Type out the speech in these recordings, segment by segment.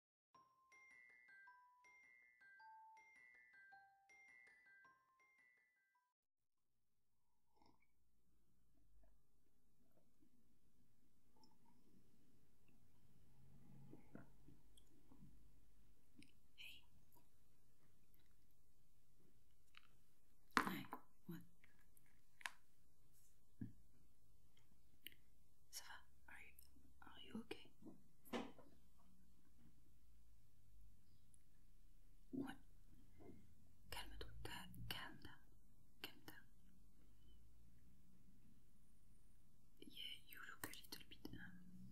Hey. Hi. What? Sava, are you okay? What? Calme toi, calme down, calme down. Yeah, you look a little bit. Um,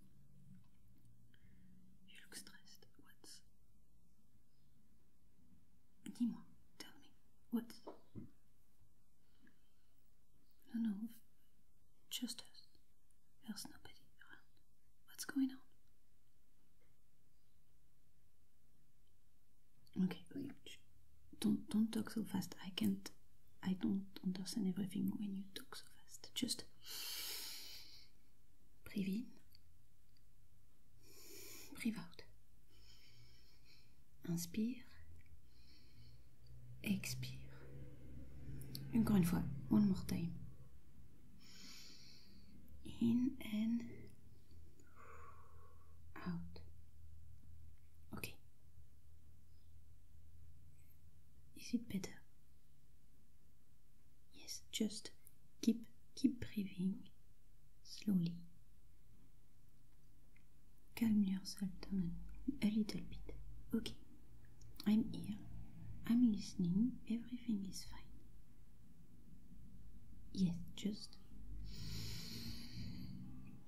you look stressed. What's? tell me, what? No, no, just us. There's nobody around. What's going on? Okay, don't don't talk so fast. I can't. I don't understand everything when you talk so fast. Just breathe in, breathe out. Inspire. Expire. Encore une fois, one more time. In and out. Okay. Is it better? Yes, just keep keep breathing slowly. Calm yourself down a little bit. Okay, I'm here. I'm listening. Everything is fine. Yes, just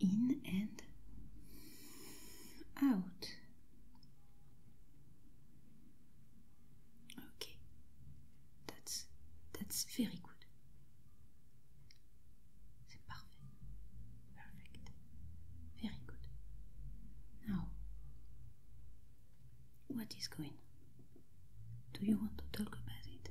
in and out. Okay, that's that's very good. C'est parfait. Perfect. Very good. Now, what is going? Do you want to talk about it?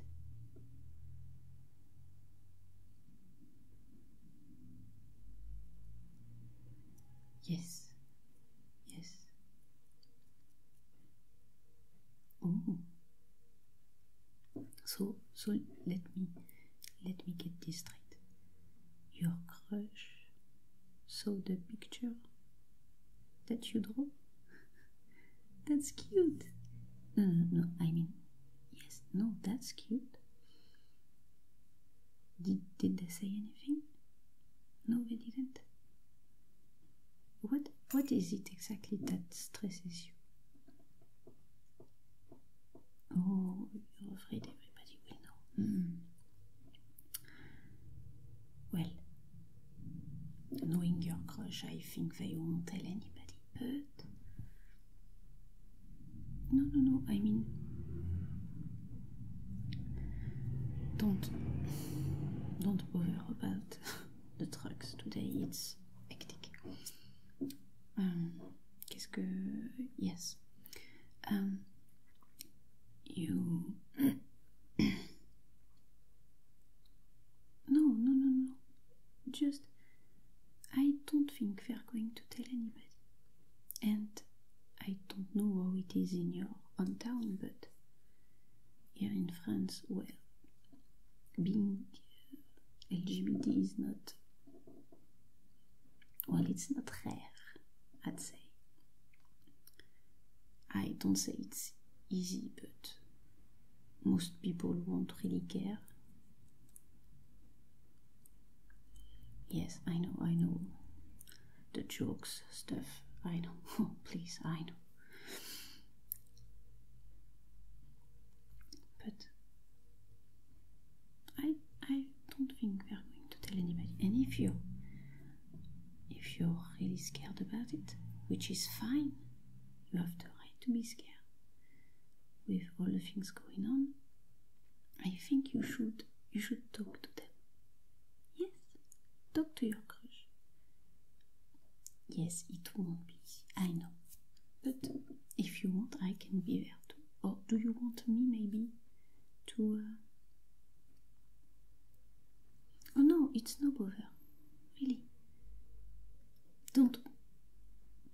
Yes. Yes. Oh, so so let me let me get this straight. Your crush saw the picture that you draw? that's cute. No, no, I mean, yes, no, that's cute. Did, did they say anything? No, they didn't. What, what is it exactly that stresses you? Oh, hmm. Well, knowing your crush, I think they won't tell anybody, but. No, no, no, I mean. Don't. Don't bother about the trucks today, it's hectic um, quest que yes um, you no no no no just I don't think they're going to tell anybody and I don't know how it is in your hometown but here in France well being LGBT is not well, it's not rare, I'd say. I don't say it's easy, but most people won't really care. Yes, I know, I know. The jokes, stuff, I know. Oh, please, I know. But I I don't think we are going to tell anybody. And if you if you're really scared about it, which is fine, you have the right to be scared. With all the things going on, I think you should you should talk to them. Yes, talk to your crush. Yes, it won't be. I know. But if you want, I can be there too. Or do you want me maybe to. Uh, oh no, it's no bother. Really. Don't.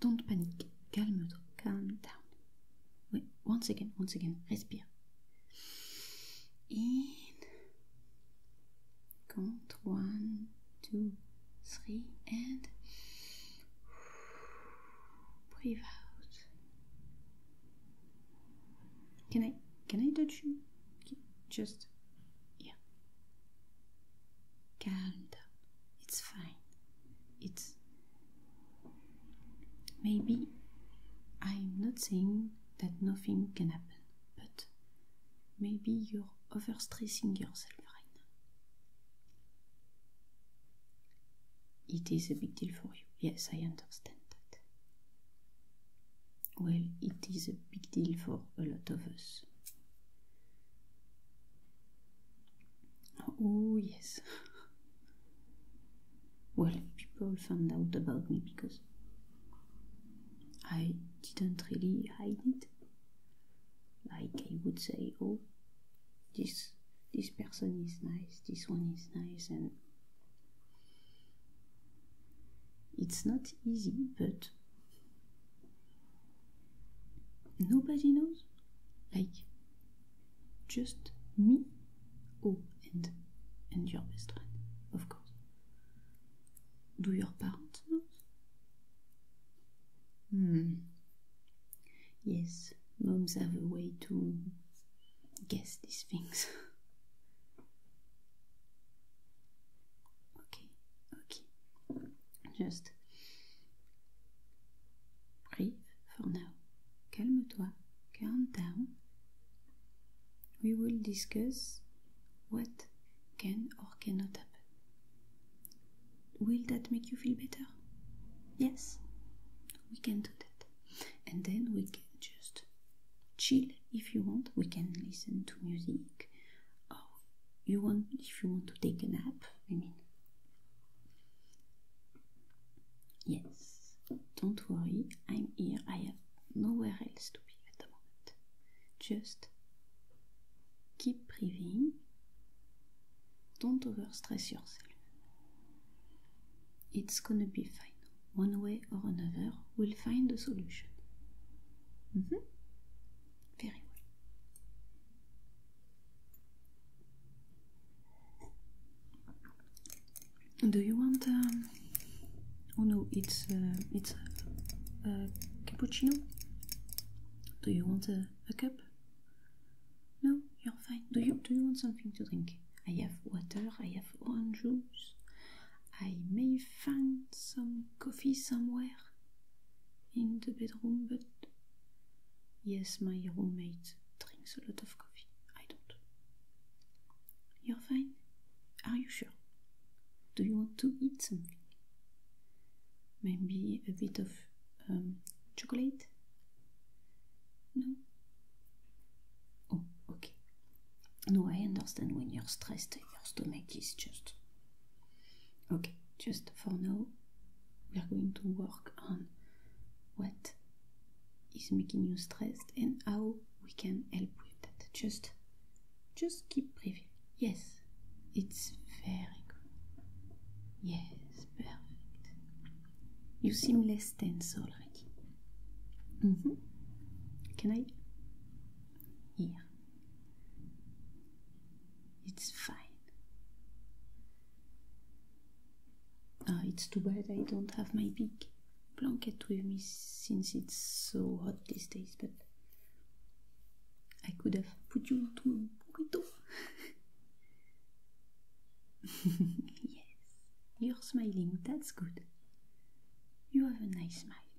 Don't panic. Calme, calm down. Wait, once again, once again. Respire. In. Count one, two, three, and breathe out. Can I can I touch you? Just yeah. Calm down. It's fine. It's maybe I'm not saying that nothing can happen, but maybe you're overstressing yourself right now. It is a big deal for you. Yes, I understand that. Well, it is a big deal for a lot of us. Oh, yes. well, people found out about me because I didn't really hide it like I would say, oh, this this person is nice, this one is nice, and it's not easy, but nobody knows. Like just me, oh, and and your best friend, of course. Do your parents know? Hmm. Yes, moms have a way to guess these things. okay, okay. Just breathe for now. Calme-toi. Calm down. We will discuss what can or cannot happen. Will that make you feel better? Yes, we can do that. And then we can just chill if you want. We can listen to music. Oh, you want if you want to take a nap, I mean. Yes, don't worry, I'm here. I have nowhere else to be at the moment. Just keep breathing. Don't over stress yourself. It's gonna be fine. One way or another, we'll find a solution. Mm-hmm. Very well. Do you want? Um, oh no, it's uh, it's a cappuccino. Do you want a, a cup? No, you're fine. Do you do you want something to drink? I have water, I have orange juice. I may find some coffee somewhere in the bedroom, but yes, my roommate drinks a lot of coffee. I don't. You're fine? Are you sure? Do you want to eat something? Maybe a bit of um, chocolate? No? Oh, okay. No, I understand when you're stressed, your stomach is just. Okay, just for now, we are going to work on what is making you stressed and how we can help with that. Just just keep breathing. Yes, it's very good. Yes, perfect. You seem less tense already. Mm -hmm. Can I? Yeah. It's fine. Ah, it's too bad I don't have my big blanket with me since it's so hot these days, but I could have put you to a burrito. yes, you're smiling, that's good. You have a nice smile.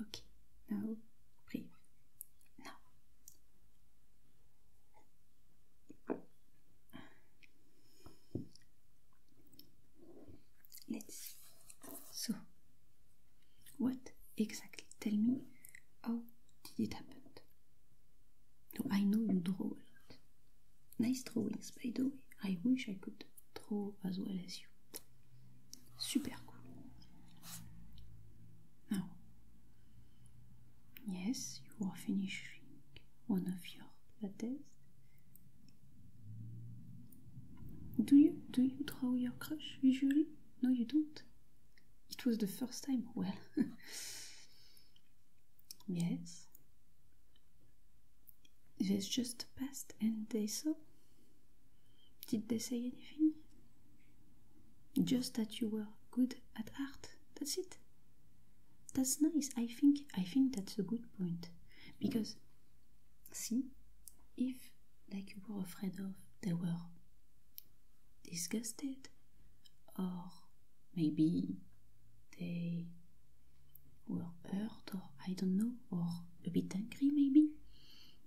Okay, now breathe. Now. Let's. So, what exactly? Tell me, how did it happen? No, I know you draw a lot. Nice drawings, by the way. I wish I could draw as well as you. Super cool. Now, yes, you are finishing one of your plates. Do you do you draw your crush usually? No, you don't. It was the first time. Well, yes. This just passed, and they saw. Did they say anything? Just that you were good at art. That's it. That's nice. I think I think that's a good point because See, if, like you were afraid of, they were disgusted, or maybe they were hurt, or I don't know, or a bit angry, maybe,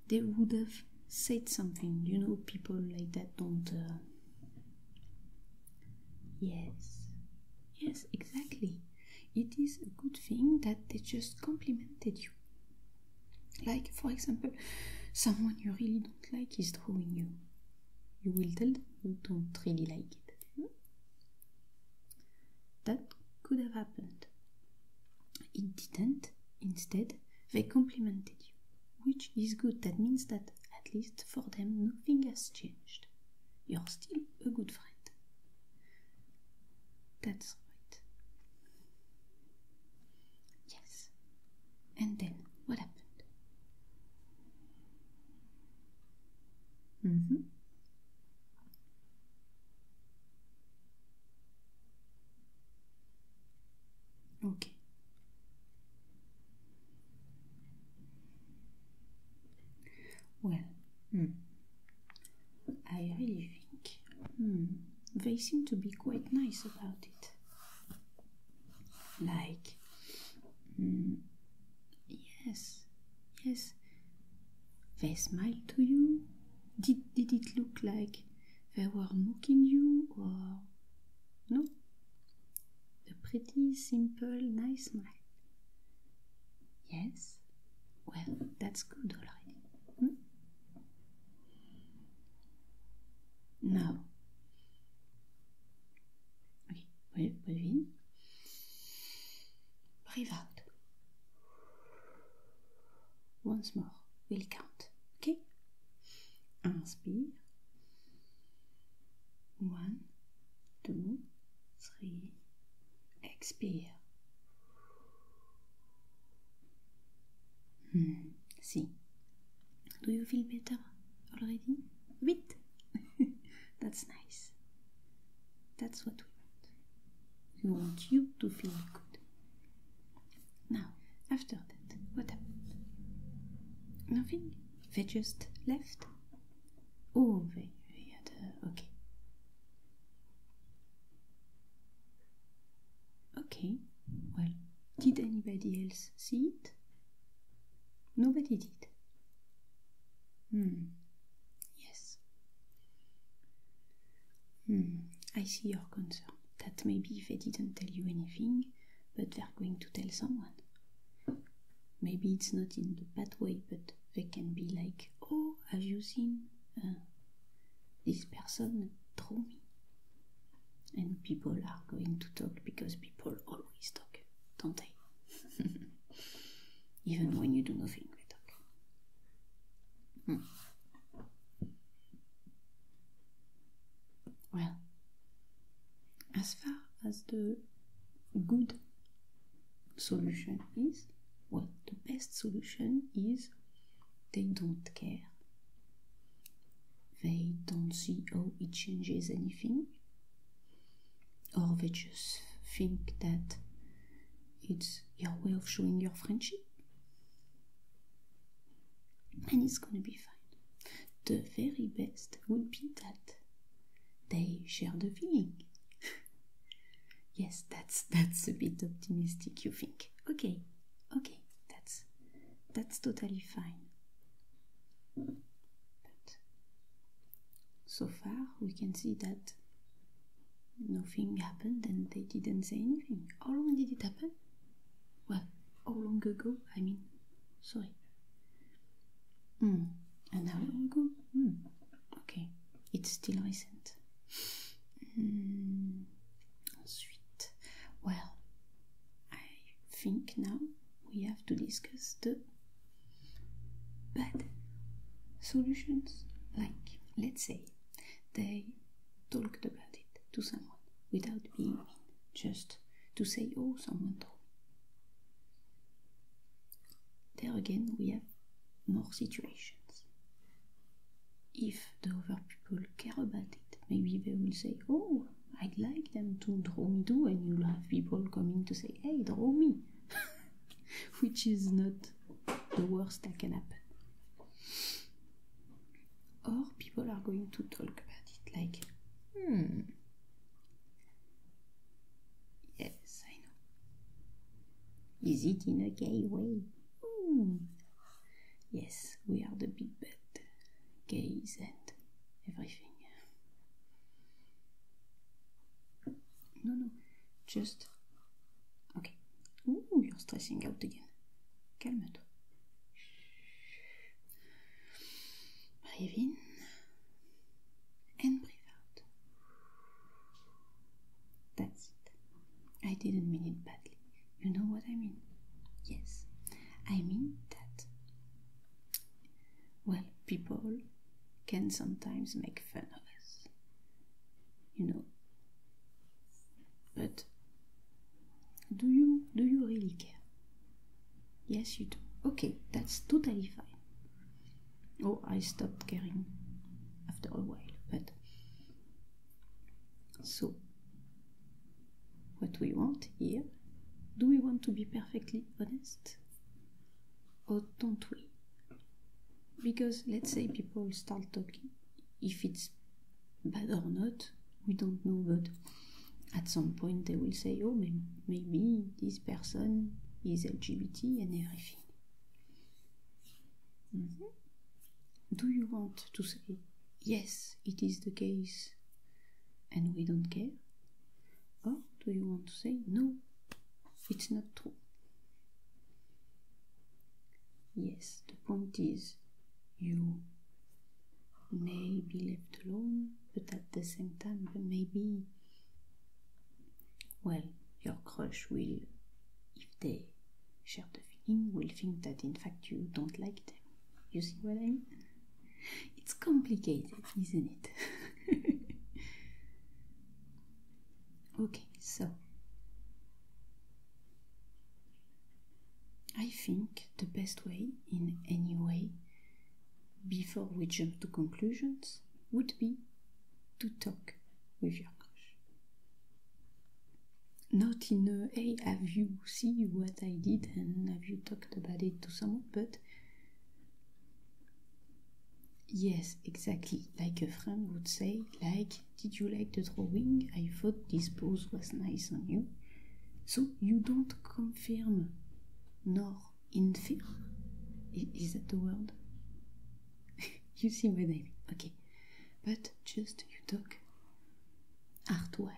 they would have said something. You know, people like that don't. Uh, yes, yes, exactly it is a good thing that they just complimented you. Like, for example, someone you really don't like is drawing you. You will tell them you don't really like it. Hmm? That could have happened. It didn't. Instead, they complimented you, which is good. That means that at least for them, nothing has changed. You're still a good friend. That's right. Yes. And then what happened? Mm hmm. Okay. Well, mm, I really think hmm, they seem to be quite nice about it. Like, hmm, yes, yes, they smiled to you. Did, did it look like they were mocking you or no? A pretty simple, nice smile. Yes? Well, that's good already. Hmm? Now, breathe breathe out. Once more, we'll count, okay? Inspire. One, two, three. Expire. Hmm. See. Do you feel better already? A That's nice. That's what we want. We want you to feel good. Now, after that, what happened? Nothing? They just left? Oh, vi, vi Okay. Okay, well, did anybody else see it? Nobody did. Hmm, yes. Hmm, I see your concern that maybe they didn't tell you anything, but they're going to tell someone maybe it's not in the bad way, but they can be like, "Oh, have you seen uh, this person draw me?" And people are going to talk because people always talk, don't they? Even when you do nothing, they talk. Hmm. Well, as far as the good solution is? what the best solution is they don't care. They don't see how it changes anything, or they just think that it's your way of showing your friendship, and it's gonna be fine. The very best would be that they share the feeling. yes, that's that's a bit optimistic, you think. Okay, okay, that's that's totally fine. But so far we can see that nothing happened and they didn't say anything. How long did it happen? Well, how long ago? I mean, sorry. Hmm. And now it will go. Hmm. Okay, it's still recent. Mm. well, I think now we have to discuss the bad solutions. Like, let's say they talked about it to someone without being mean, just to say, oh, someone there again, we have more situations. If the other people care about it, maybe they will say, Oh, I'd like them to draw me too, and you'll have people coming to say, Hey, draw me, which is not the worst that can happen. Or people are going to talk about it like, Hmm, Yes, I know. Is it in a gay way? Mm. Yes, we are the big bad, gays and everything. No, no, just. Okay. Ooh, you're stressing out again. Calm down. Breathe in and breathe out. That's it. I didn't mean it badly. You know what I mean? Yes. I mean that, well, people can sometimes make fun of us. You know. But do you do you really care? Yes, you do. Okay, that's totally fine. Oh, I stopped caring after a while, but so what we want here do we want to be perfectly honest or don't we? Because let's say people start talking, if it's bad or not, we don't know, but at some point they will say, Oh, maybe this person is LGBT and everything. Mm. Do you want to say, yes, it is the case and we don't care? Or do you want to say, no, it's not true? Yes, the point is you may be left alone, but at the same time, maybe well, your crush will, if they share the feeling, will think that in fact you don't like them. You see what I mean? It's complicated, isn't it? okay, so I think the best way, in any way, before we jump to conclusions would be to talk with your crush. Not in a hey, have you seen what I did and have you talked about it to someone, but Yes, exactly. Like a friend would say, like, did you like the drawing? I thought this pose was nice on you. So you don't confirm nor in film. Is that the word? you see my name, Okay. But just you talk art wise.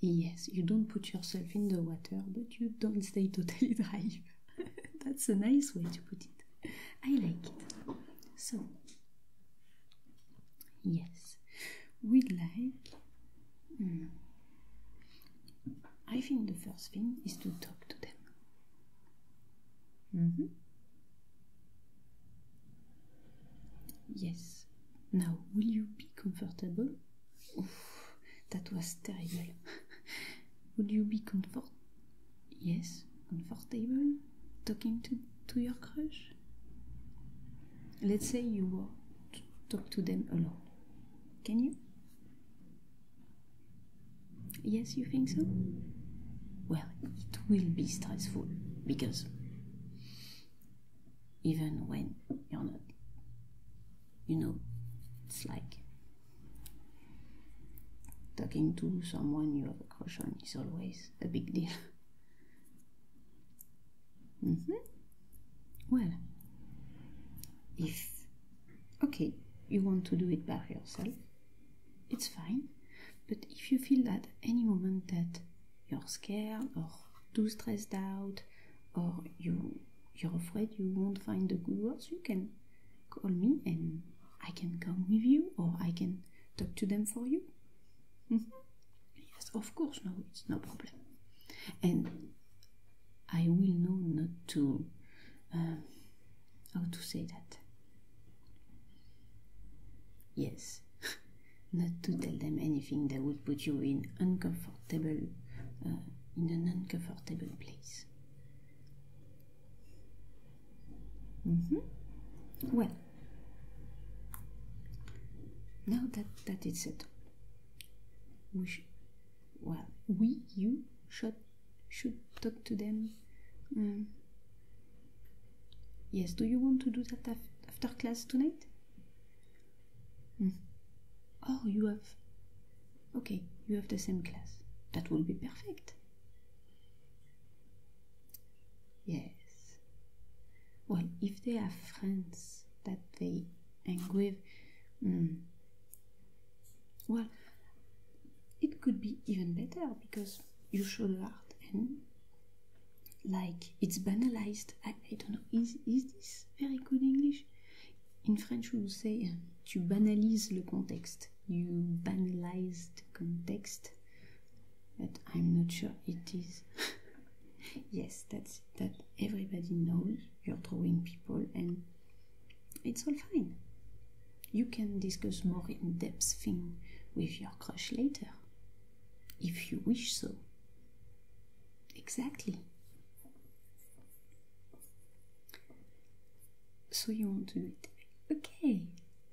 Yes, you don't put yourself in the water, but you don't stay totally dry. That's a nice way to put it. I like it. So, yes, we'd like. Hmm, I think the first thing is to talk to them. Mm-hmm. Yes. Now, will you be comfortable? that was terrible. Would you be comfort? Yes, comfortable talking to to your crush. Let's say you want to talk to them alone. Can you? Yes, you think so? Well, it will be stressful because even when you're not, you know, it's like talking to someone you have a crush on is always a big deal. Mm -hmm. Well, if okay, you want to do it by yourself, it's fine. But if you feel at any moment that you're scared or too stressed out or you you're afraid you won't find the good words, you can call me and I can come with you or I can talk to them for you. Mm-hmm. Yes, of course, no, it's no problem. And I will know not to. Um, how to say that? Yes, not to tell them anything that would put you in uncomfortable, uh, in an uncomfortable place. Mm -hmm. Well, now that that is it we well we you should should talk to them um, yes do you want to do that after class tonight hmm. oh you have okay you have the same class that will be perfect yes well if they are friends that they and with mm, well it could be even better because you show the art and like it's banalized i, don't know is, is this very good english in french we would say tu um, banalises le contexte you banalize the context but i'm not sure it is yes that's that everybody knows you're drawing people and it's all fine. You can discuss more in-depth thing with your crush later, if you wish so. Exactly. So you won't do it? Okay,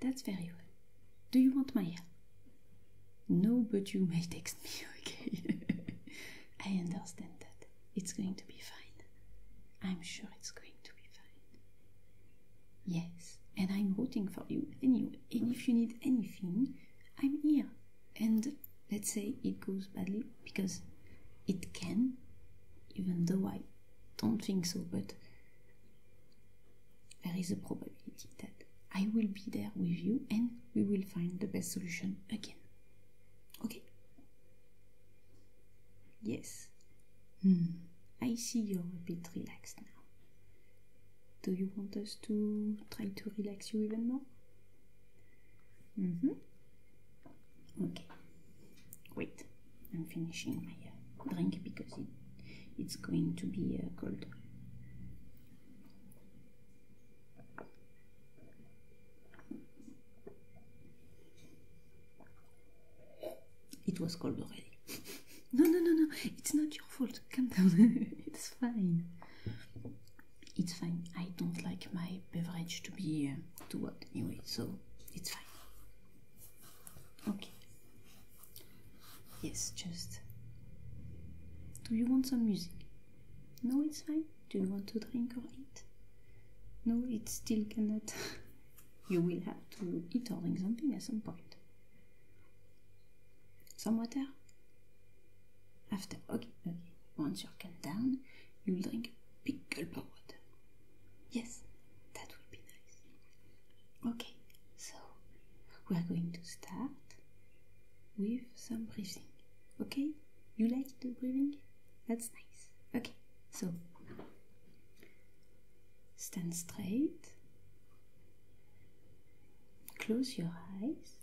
that's very well. Do you want my help? No, but you may text me, okay? I understand that. It's going to be fine. I'm sure it's going to be fine. Yes, and I'm rooting for you anyway. And if you need anything, I'm here. And let's say it goes badly, because it can, even though I don't think so, but there is a probability that I will be there with you and we will find the best solution again. Okay? Yes. Hmm. I see you're a bit relaxed now. Do you want us to try to relax you even more? Mm hmm. Okay. Wait, I'm finishing my uh, drink because it, it's going to be uh, cold. It was cold already. no, no, no, no. It's not your fault. Come down. it's fine. It's fine. I don't like my beverage to be uh, too hot anyway, so it's fine. Okay. Yes, just. Do you want some music? No, it's fine. Do you want to drink or eat? No, it still cannot. you will have to eat or drink something at some point. Some water? After, okay, okay. Once you're calmed down, you will drink a big gulp of water. Yes, that will be nice. Okay, so we are going to start with some breathing. Okay? You like the breathing? That's nice. Okay, so stand straight, close your eyes,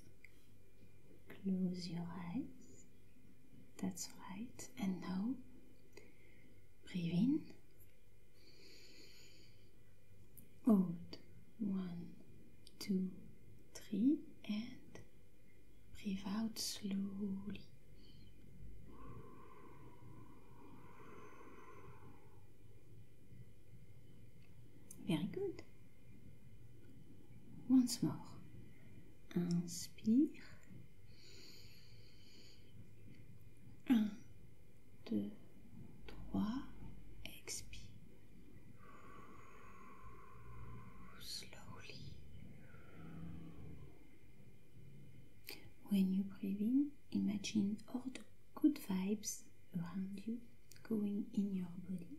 close your eyes. That's right. And now breathe in out. One, two, three, and breathe out slowly. Very good. Once more. Inspire. 1, deux 3, expire. Slowly. When you breathe in, imagine all the good vibes around you going in your body.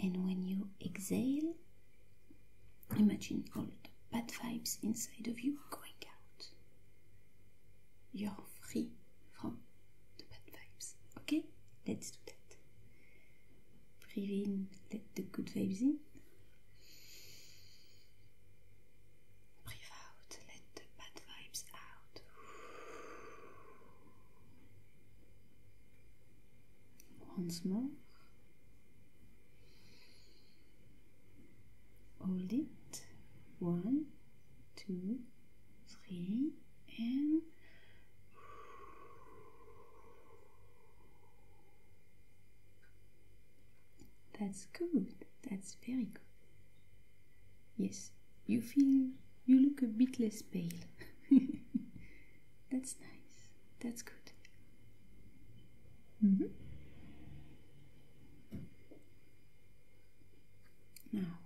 And when you exhale, imagine all the bad vibes inside of you going out. You're free from the bad vibes. Okay, let's do that. Breathe in, let the good vibes in. Breathe out, let the bad vibes out. Once more. Hold it. One, two, three, and that's good. That's very good. Yes, you feel you look a bit less pale. that's nice. That's good. Mm -hmm. Now,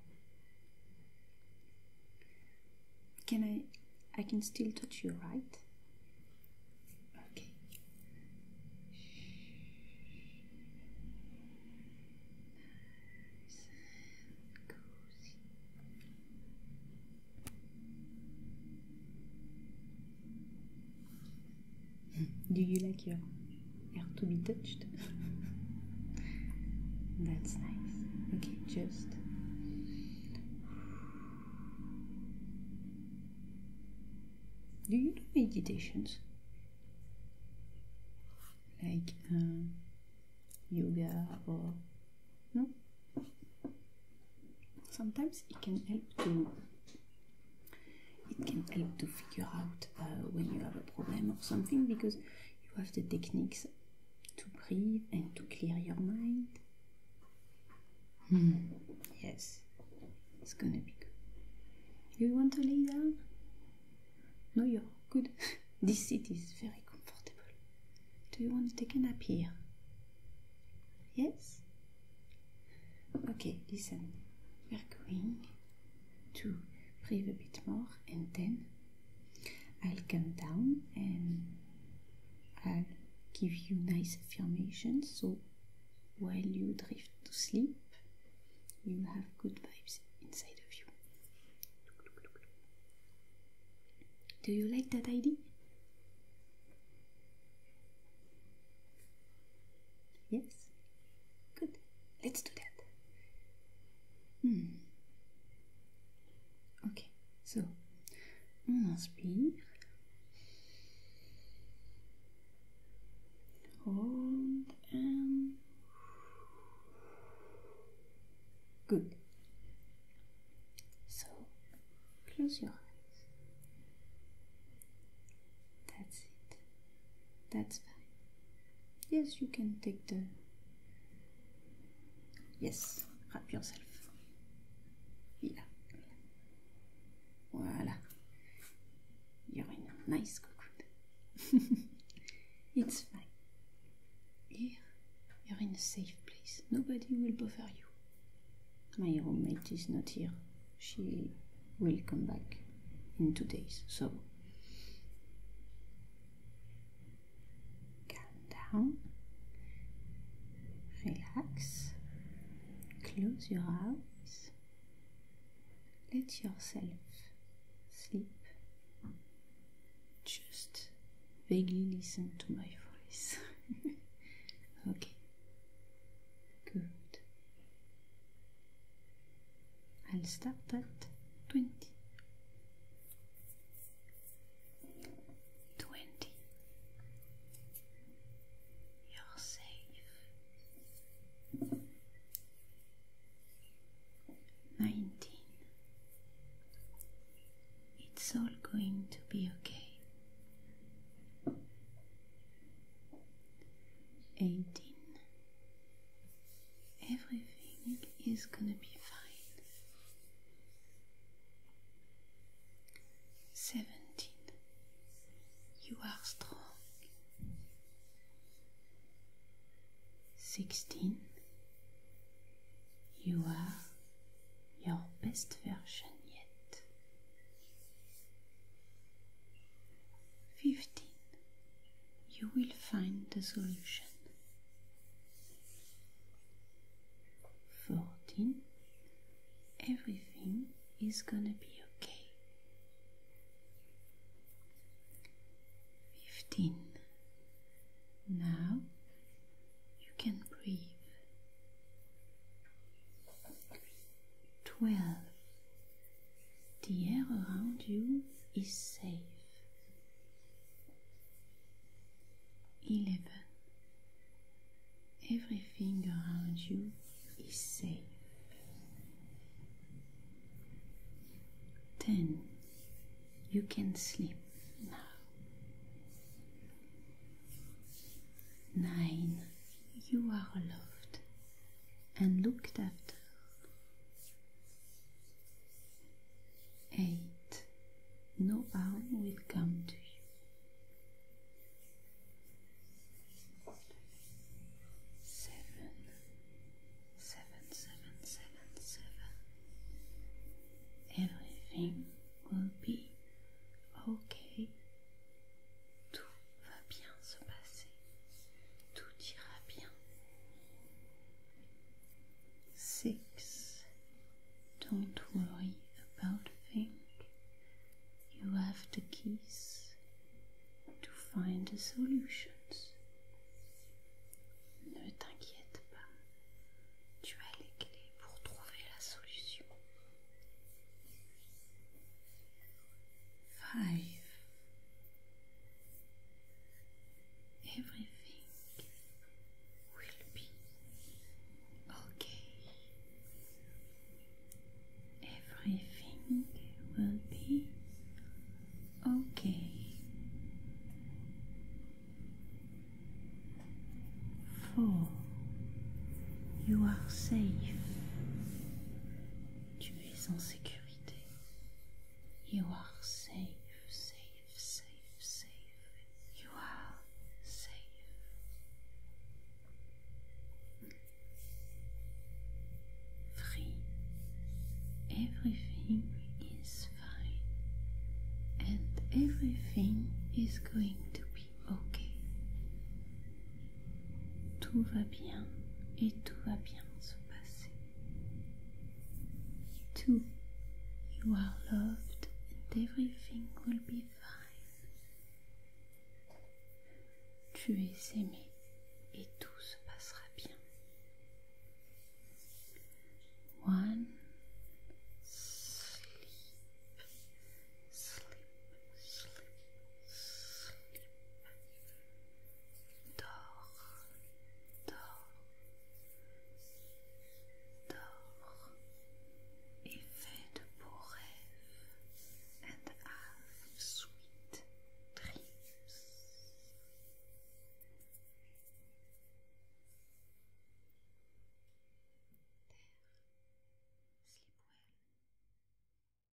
can I? I can still touch you, right? Okay. Hmm, do you like your are to be touched. That's nice. Okay, just do you do meditations like um, yoga or no? Sometimes it can help to it can help to figure out uh, when you have a problem or something because you have the techniques to breathe and to clear your mind. Hmm. Yes, it's gonna be good. You want to lay down? No, you're good. this seat is very comfortable. Do you want to take a nap here? Yes? Okay, listen. We're going to breathe a bit more and then I'll come down and I'll give you nice affirmations so while you drift to sleep you have good vibes inside of you. Do you like that idea? Yes? Good, let's do that. Hmm. Ok, so on inspire. Hold and good. So close your eyes. That's it. That's fine. Yes, you can take the. Yes, wrap yourself. Here, Voila. You're in a nice cocoon. it's fine. Here, you're in a safe place. Nobody will bother you. My roommate is not here. She will come back in two days, so Calm down. Relax. Close your eyes. Let yourself sleep. Just vaguely listen to my voice. okay. Good. I'll stop at 20 20 You're safe 19 It's all going to be okay 18 everything is gonna be fine. Seventeen. You are strong. Sixteen. You are your best version yet. Fifteen you will find the solution. 14. Everything is gonna be okay. 15. Now you can breathe. 12. The air around you is safe. 11. Everything around you is safe. 10. You can sleep now. 9. You are loved and looked after. 8. No harm will come to you. 7. 7, 7, 7, 7. Everything will be okay. Tout va bien se passer. Tout ira bien. Six. Don't worry about things. You have the keys to find the solutions. Ne t'inquiète pas. Tu as les clés pour trouver la solution. Five. everything will be okay. Everything will be okay. For you are safe. You are safe, safe, safe, safe. You are safe. Free. Everything is fine. And everything is going to be okay. Tout va bien et tout va bien se passer. Two, you are loved and everything will be fine. Tu es aimé et tout se passera bien. One, sleep, sleep, sleep, sleep. dors, dors, dors, et fais de beaux rêves, sweet dreams. sleep well.